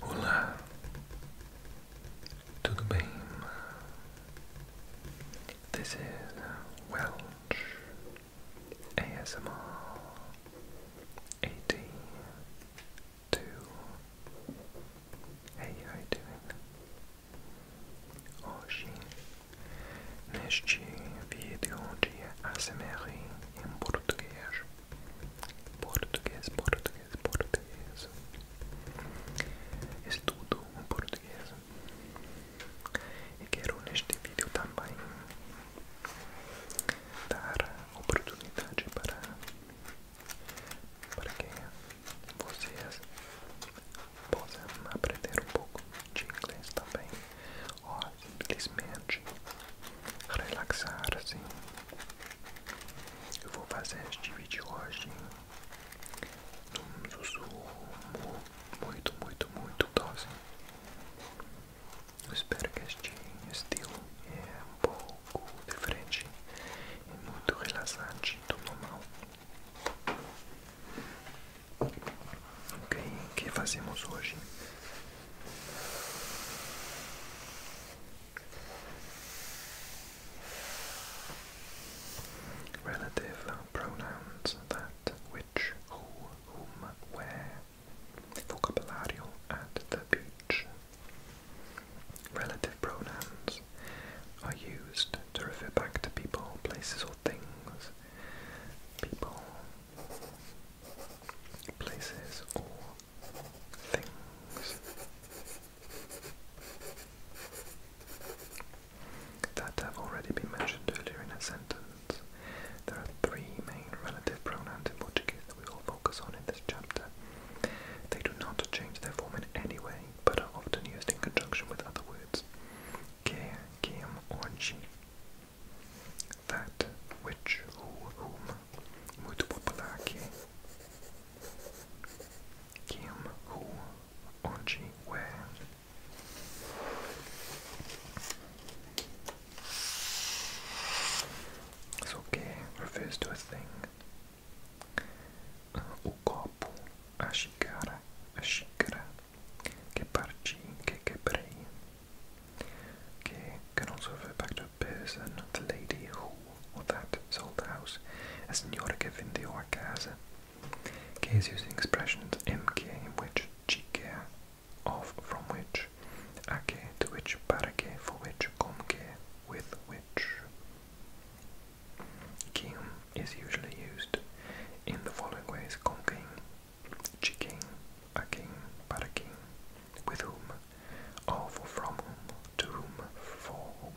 Olá, tudo bem? This is Welsh ASMR eighty two. Hey, doing? Hoje, neste vídeo de ASMR em português. Português, português, português. Estudo português. E quero neste vídeo também dar oportunidade para, para que vocês possam aprender um pouco de inglês também ou simplesmente relaxar assim Eu vou fazer este vídeo tipo hoje num sussurro muito, muito, muito doce. Eu espero que este estilo é um pouco diferente e muito relaxante do normal. Ok, o que fazemos hoje? Relative pronouns that, which, who, whom, where. Vocabulario at the beach. Relative pronouns are used to refer back to people, places, or things. People places or things that have already been mentioned earlier in a sentence. There are three main relative pronouns in Portuguese that we will focus on in this chapter. They do not change their form in any way, but are often used in conjunction with other words. Que, quem, or she that which or whom muito popular que quem who onde where so que refers to a thing o uh, copo a xícara a xícara que parchi, que quebrei, que can also refer back to a the lady who or that sold the house, a signora che vende o a casa. Che is using expressions mk, in which, chique, of, from which, a che, to which, para che, for which, com che, with which. Kim is usually used in the following ways: con de quem, a quem, para quem, with whom, of, from whom, to whom, for whom.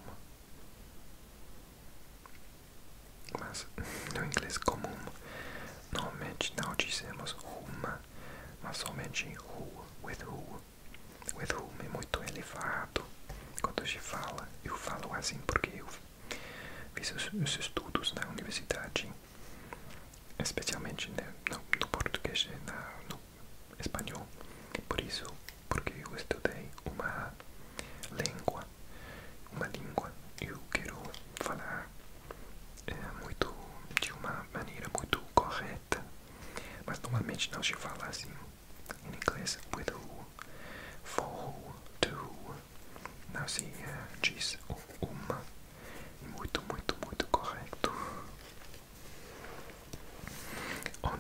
Mas no inglês comum, normalmente não dizemos whom, mas somente who, with whom. With whom é muito elevado quando a gente fala. Eu falo assim porque eu fiz os estudos na universidade especialmente né, no, português né, no espanhol. Por isso, porque eu estudei uma língua, uma língua, eu quero falar eh, muito de uma maneira muito correta, mas normalmente não se fala assim em inglês with who, for who, to, Não,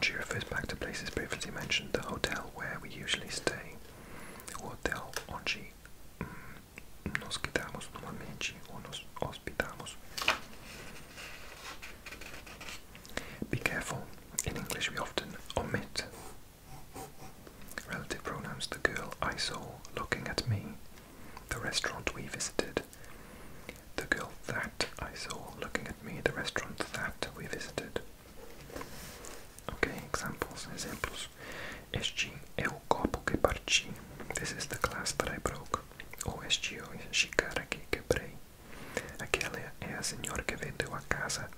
she refers back to places previously mentioned, the hotel where we usually stay. hotel onde nos quedamos normalmente ou nos hospedamos. Be careful. In English, we often omit Relative pronouns the girl I saw looking at me. The restaurant we visited. The girl that I saw looking at me. The restaurant that we visited. Okay, examples, examples. Este é o copo que parti. This is the glass that I broke. Ou oh, este oh, é a xícara que quebrei. Aquela é a senhora que vendeu a casa.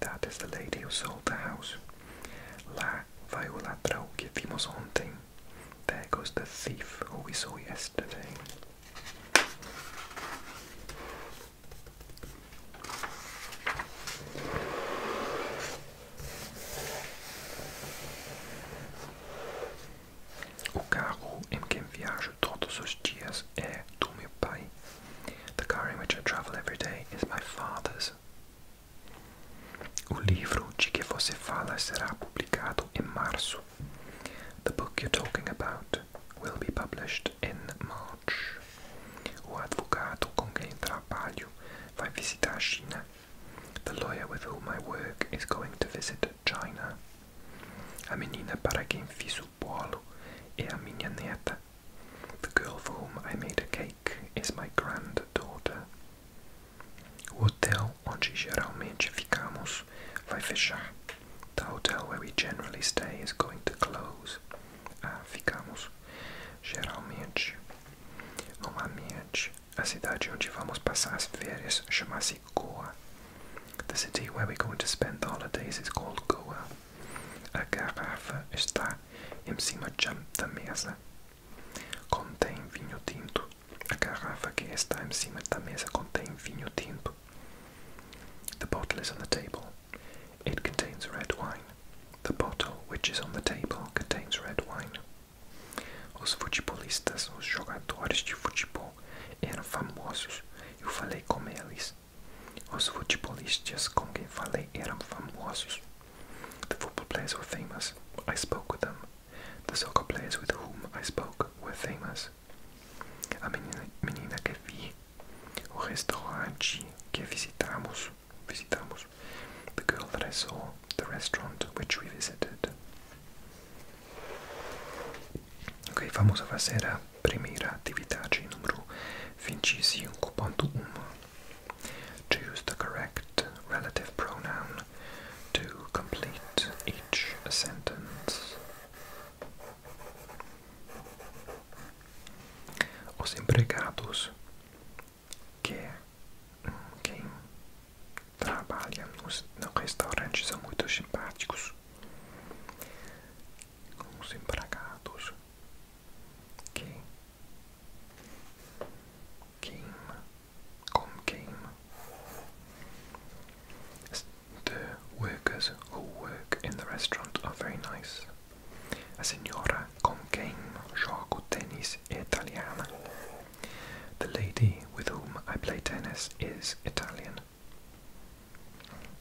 That is the lady who sold the house. Lá lá vai o ladrão que vimos ontem. There goes the thief who we saw yesterday. O carro em que viajo todos os dias é do meu pai. The car in which I travel every day is my father's. O livro de que você fala será publicado em março. The book you're talking about will be published in March. O advogado com quem trabalho vai visitar a China. The lawyer with whom I work is going to visit China. A menina para quem fiz o bolo é a minha neta. The girl for whom I made a cake is my granddaughter. hotel onde geralmente ficamos vai fechar. The hotel where we generally stay is going to close. Ah, ficamos. Geralmente. Normalmente. A cidade onde vamos passar as férias chama-se Goa. The city where we're going to spend the holidays is called Goa. A garrafa está em cima da mesa. Contém vinho tinto. A garrafa que está em cima da mesa contém vinho tinto. The bottle is on the table. It contains red wine. The bottle which is on the table contains red wine. Os futebolistas, os jogadores de futebol, eram famosos. Eu falei com eles. Os futebolistas com quem falei eram famosos. The football players were famous. I spoke with them. The soccer players with whom I spoke were famous. A menina, menina que vi, o restaurante que visitamos, visitamos, the girl that I saw, the restaurant which we visited. que vamos a fazer que primeira atividade número 25.1. Choose the correct relative pronoun to complete each sentence. Os empregados que trabalham nos, no são muito simpáticos. Os empregados King. Kim. Kom Kim. The workers who work in the restaurant are very nice. A signora con game gioco tennis italiana. The lady with whom I play tennis is Italian.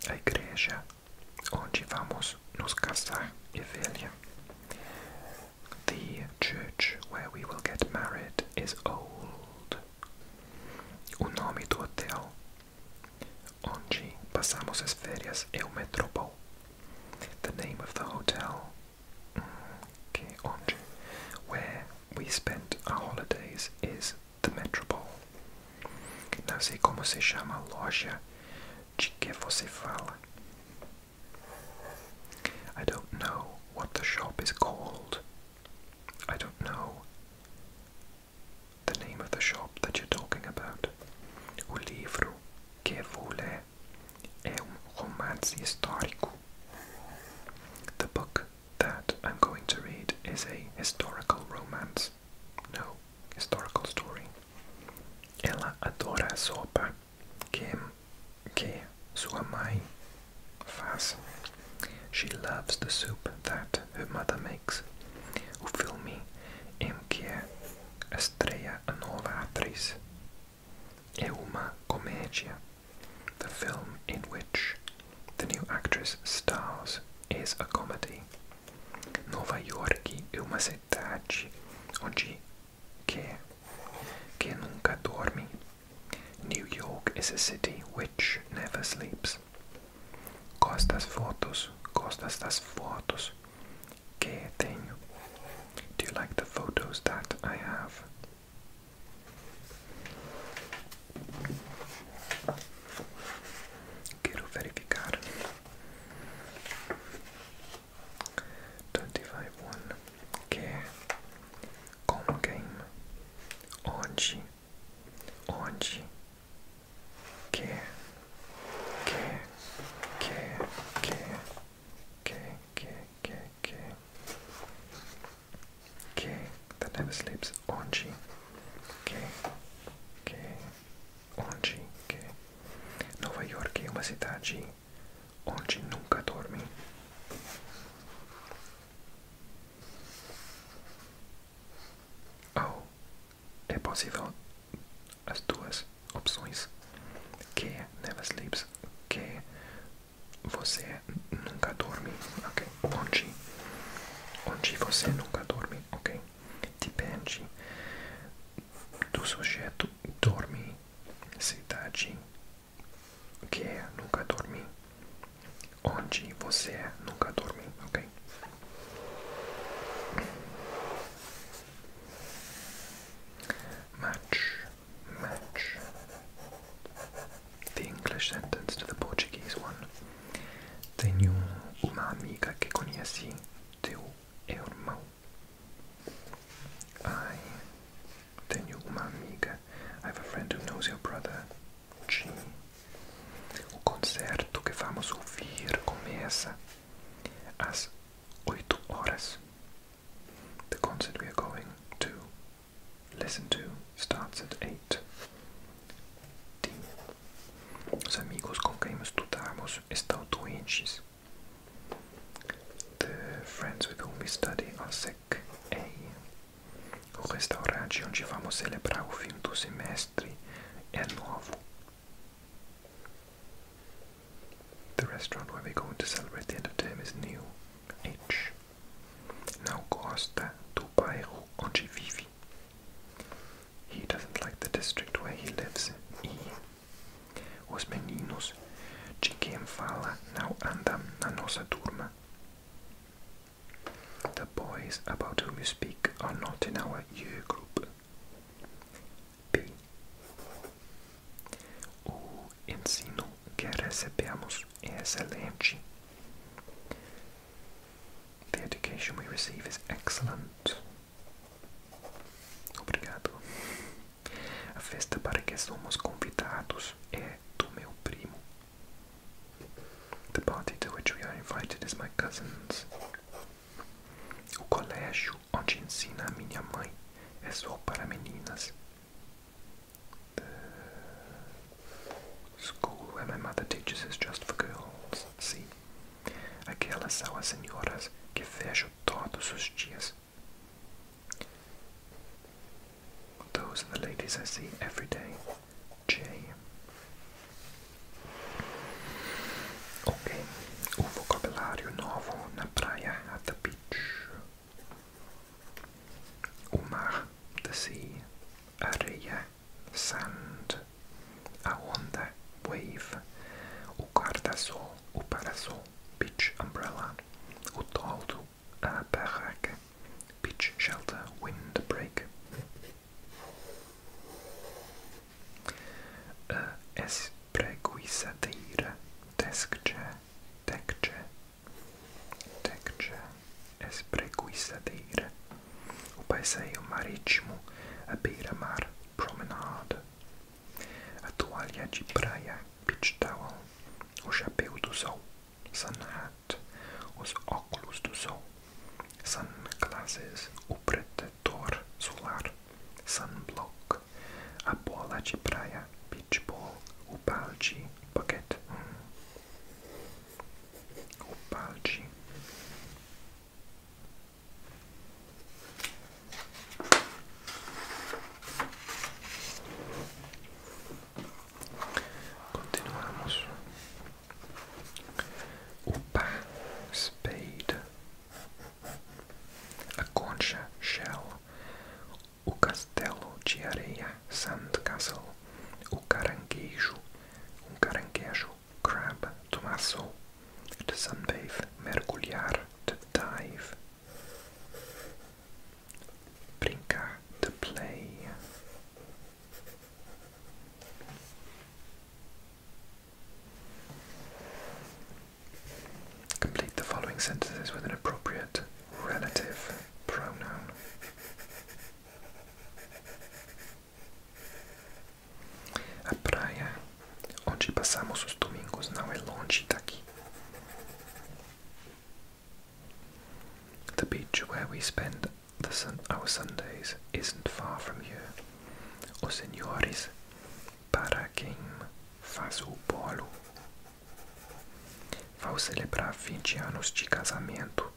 A igreja onde vamos nos casar é the church where we will get married is old. Un nome hotel. Onde passamos as férias é o The name of the hotel. Okay, mm, onde. Where we spent our holidays is the Metropol. Não sei como se chama a loja de que você fala. I don't know what the shop is called. I don't know the name of the shop that you're talking about. O livro que vou ler é um romance histórico. The book that I'm going to read is a historical romance. No, historical story. Ela adora a sopa que, que sua mãe faz. She loves the soup that her mother makes. O filme em que estreia a nova atriz é uma comédia. The film in which the new actress stars is a comedy. Nova Yorki é uma metade, onde quer que nunca dorme. New York is a city which never sleeps. Gosto das fotos, gostas fotos que tenho. Do you like the photos that I have? Quero verificar. 25-1 K Como game Oggi Oggi Che Che Che Che Che Che Che Che Che that never sleeps Oggi Che Che onde que Nova York é uma cidade onde nunca dorme. Ou é possível as duas opções que é never sleeps, que é você nunca dorme, ok? Onde, onde você nunca dorme, ok? depende do sujeito dorme, cidade tá que é nunca dormi, onde você é nunca dormi, ok? Match, match the English sentence to the Portuguese one. Tenho uma amiga que conheci teu irmão. I, then your uma amiga, I have a friend who knows your brother, G. O às 8 horas. The concert we are going to listen to starts at 8. D. Os amigos com quem estudamos estão doentes. The friends with whom we study are sick. Ei, o restaurante onde vamos celebrar o fim do semestre é novo. The restaurant where we're going to celebrate the end of term is new. H. Não gosta do bairro onde vive. He doesn't like the district where he lives. E. Os meninos de quem fala não andam na nossa turma. The boys about whom you speak are not in our year group. B. O ensino que recebemos é excelente. The education we receive is excellent. Obrigado. A festa para que somos convidados é do meu primo. The party to which we are invited is my cousin's. O colégio onde ensina a minha mãe é só para meninas. The school where my mother teaches is just for girls. See? Aquelas são as senhoras que vejo todos os dias. Those are the ladies I see every day. Ok, o vocabulário novo na praia, at the beach. O mar, the sea. Areia, sand a onda, wave, o guarda-sol, o parasol, beach umbrella, o toldo, a barraca, beach shelter, windbreak. A espreguiçadeira, texture, texture, texture, espreguiçadeira. O passeio marítimo, a beira-mar, promenade. A toalha de praia, beach towel, o chapéu do sol, sun hat, os óculos do sol, sun glasses, o solar, sunblock, a bola beach ball, o balde, bucket, hum. o Continuamos. O pá, spade. A concha, shell. O castelo de areia, sand castle O caranguejo, um caranguejo, crab, tomaço. to sunbathe, mergulhar, the dive, brincar, the play. Complete the following sentences with an appropriate relative pronoun. A praia onde passamos os domingos não é longe daqui. The beach where we spend our Sundays isn't far from here. Os senhores para quem faz o bolo vão celebrar 20 anos de casamento.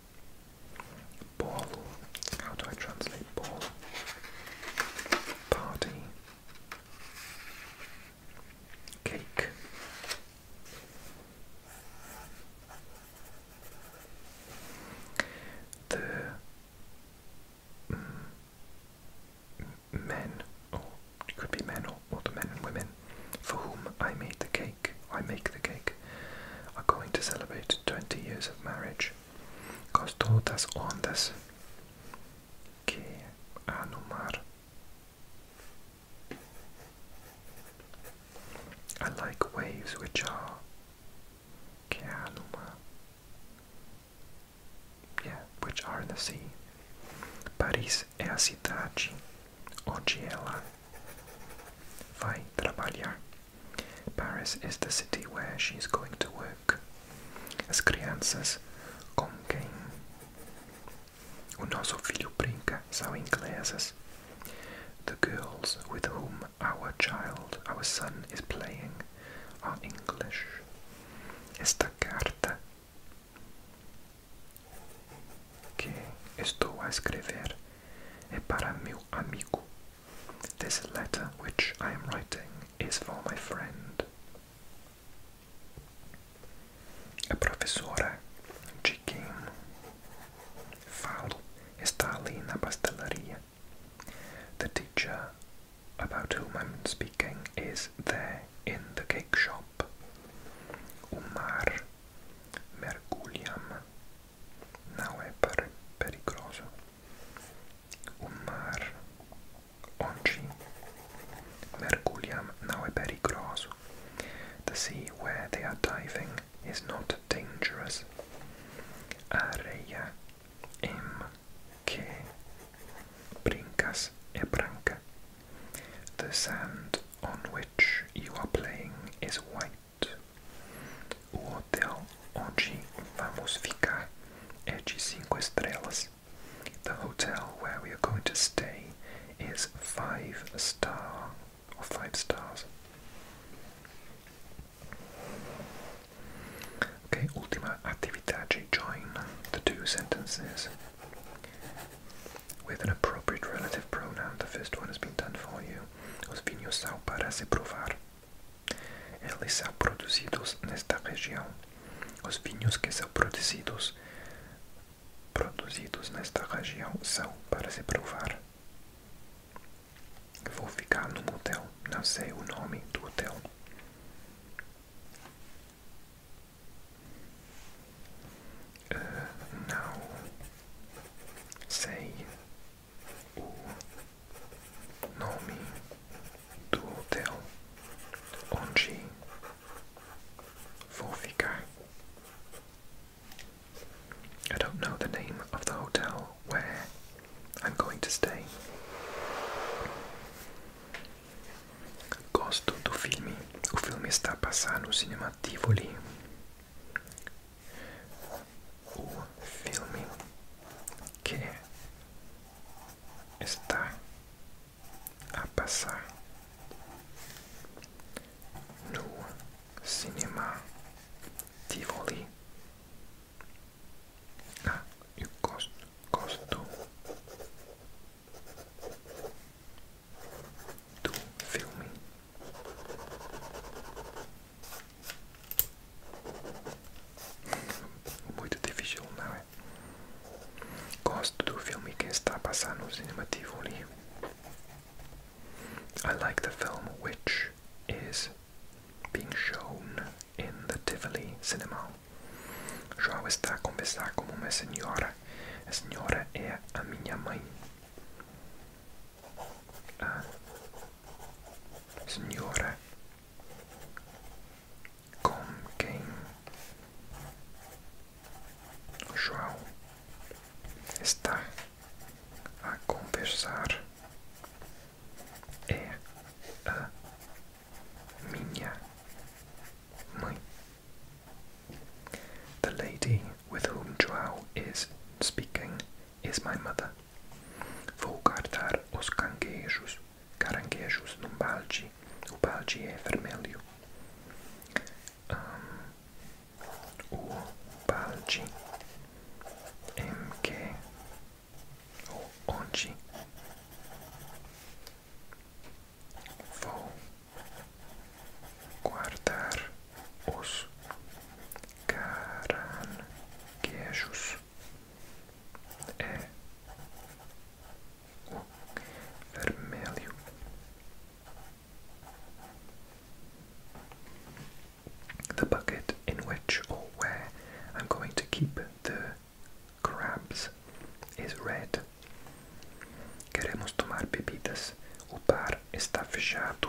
Ball. How do I translate ball? Party. Cake. The mm, men, or it could be men or, or the men and women for whom I made the cake, I make the cake, are going to celebrate 20 years of marriage. Gosto das ondas que há no mar. I like waves which are que há no mar. Yeah, which are in the sea. Paris é a cidade onde ela vai trabalhar. Paris is the city where she is going to work. As crianças, com quem o nosso filho brinca são inglesas. The girls with whom our child, our son, is playing are English. Esta carta que estou a escrever é para meu amigo this letter which I am writing is for my friend. Il professore Gicchim Fowl is Tarlina Pastelleria. The teacher about whom I'm speaking is there in the cake shop. Umar Merguliam Não é perigoso. O mar onde mergulham não é perigoso. The sea where they are diving is not dangerous. Areia em brincas é branca. The sand on which you are playing is white. O hotel onde vamos ficar é de 5 estrelas. The hotel where we are going to stay is 5 star 5 stars. Ok, ultima actividade. Join the two sentences with an appropriate relative pronoun. The first one has been done for you. Os vinhos são para se provar. Eles são produzidos nesta região. Os vinhos que são produzidos produzidos nesta região são para se provar. Vou ficar num hotel, não sei o nome do hotel. Ah, não sei I don't know the name of the hotel where I'm going to stay. Gosto do filme. O filme está a passar no cinema Tivoli. o filme que está a passar no cinema Tivoli. Ah, eu gosto, gosto do filme. Muito difícil, não é? Gosto do filme que está passando no cinema Tivoli. I like the film which is being shown in the Tivoli cinema. João está a conversar com uma senhora. A senhora é a minha mãe. Ah. com quem João está a conversar é a minha mãe. The lady with whom João is speaking is my mother. Vou guardar os canguejos, caranguejos num balde. O balde é vermelho. o balde em que vou guardar the bucket in which or where I'm going to keep the crabs is red. Queremos tomar bebidas. O bar está fechado.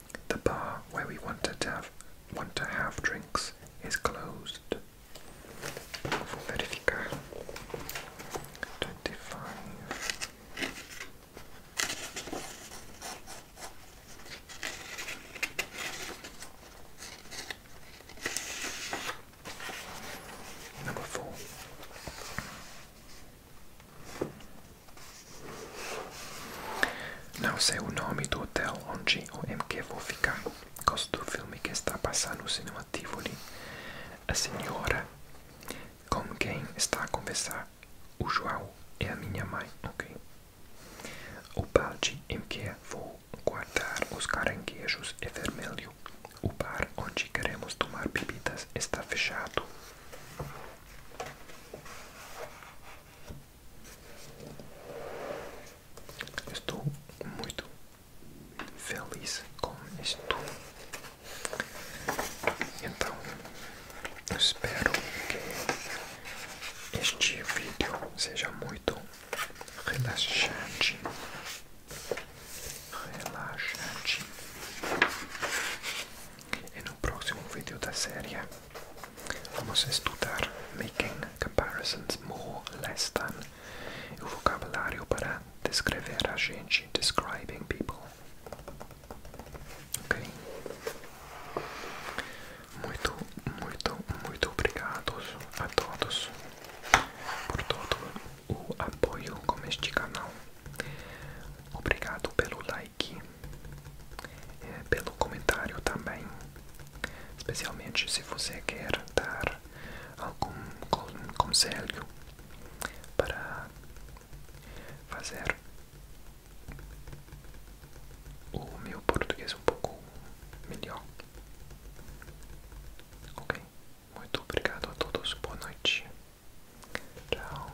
The bar where we wanted to have want to have drinks is closed. Twenty-five. Number four. Não sei o nome do hotel onde ou em que vou ficar. Gosto do filme que está passando no cinema Tivoli. A senhora com quem está a conversar, o João, é a minha mãe, ok? O balde em que vou guardar os caranguejos é vermelho. O bar onde queremos tomar bebidas está fechado. Estou muito feliz com isto. Então, espero que este vídeo seja muito relaxante. Relaxante. E no próximo vídeo da série Vamos estudar making comparisons more less than o vocabulário para descrever a gente, describing people. Ok? Muito, muito, muito obrigado a todos por todo o apoio com este canal. Obrigado pelo like, é, pelo comentário também, especialmente se você quer dar algum conselho para fazer o meu português um pouco melhor. Ok? Muito obrigado a todos. Boa noite. Tchau.